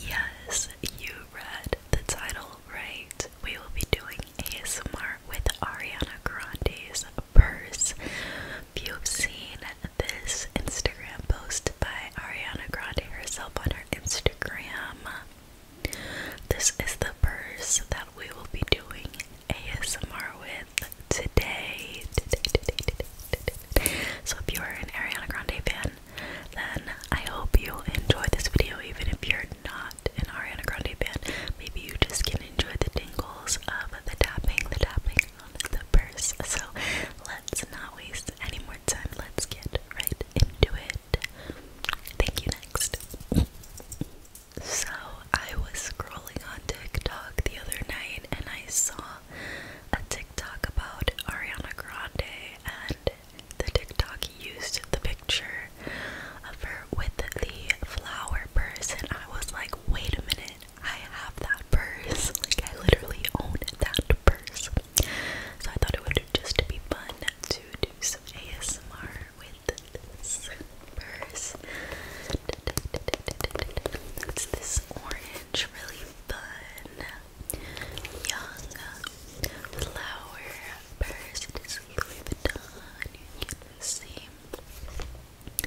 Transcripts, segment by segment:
Yes, you read the title right. We will be doing ASMR with Ariana Grande's purse. If you have seen this Instagram post by Ariana Grande herself on her Instagram, this is the purse that we will be doing ASMR with today. today, so if you are an Ariana Grande fan, then I hope you enjoy this video even if you're not an Ariana Grande fan. Maybe you just can enjoy the tingles of the tapping, the tapping on the purse. So let's not waste any more time. Let's get right into it. Thank you next. So I was scrolling on TikTok the other night and I saw a TikTok about Ariana Grande, and the TikTok used the picture of her with the flower purse, and I was like, wait a minute, I have that purse. Like, I literally own that purse. So I thought it would just be fun to do some ASMR with this purse. It's this orange, really fun, young flower purse. It is Louis Vuitton. You see,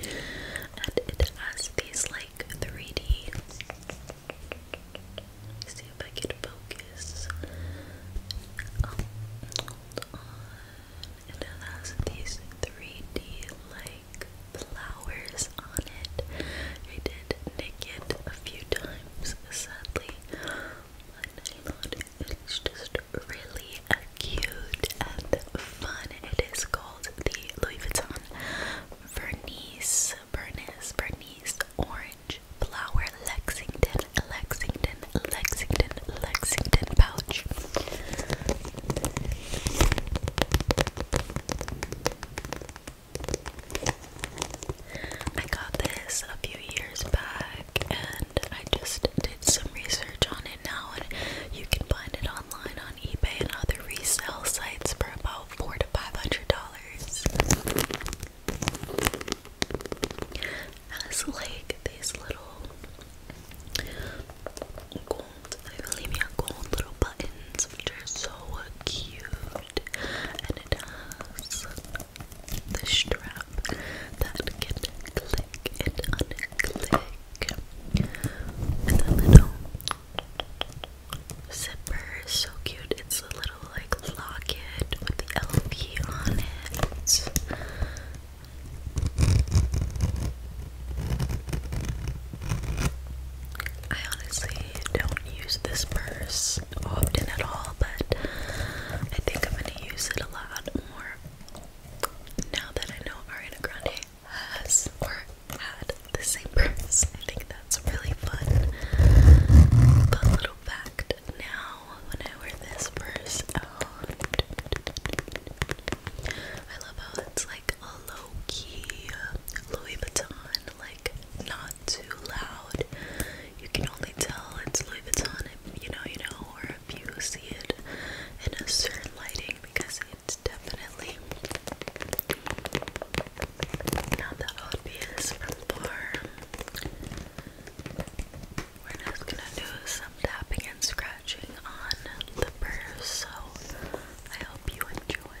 and it has these like 3D. See if I can focus. Oh, hold on. It has these 3D like like flowers on it. I did nick it a few times, sadly. My nylon is just really cute and fun. It is called the Louis Vuitton Vernice, Bernice, Bernice Orange Flower Lexington, Lexington, Lexington, Lexington pouch. I got this a few years back and I just did some research on it now and you can find it online on eBay and other resale sites for about four to five hundred dollars has like these little gold, Hylinia gold little buttons which are so cute and it has the strap that can click and unclick and the little zipper is so cute. It's a little like locket with the LP on it. I honestly don't use this purse often at all, but I think I'm gonna use it a lot more now that I know Ariana Grande has or had the same purse. I think that's really fun. But little fact now when I wear this purse out. I love how it's like a low key uh, Louis Vuitton, like not too loud. You can only tell it's Louis Vuitton if you know, you know, or if you see it in a certain lighting because it's definitely not that obvious from we're just gonna do some tapping and scratching on the so I hope you enjoy.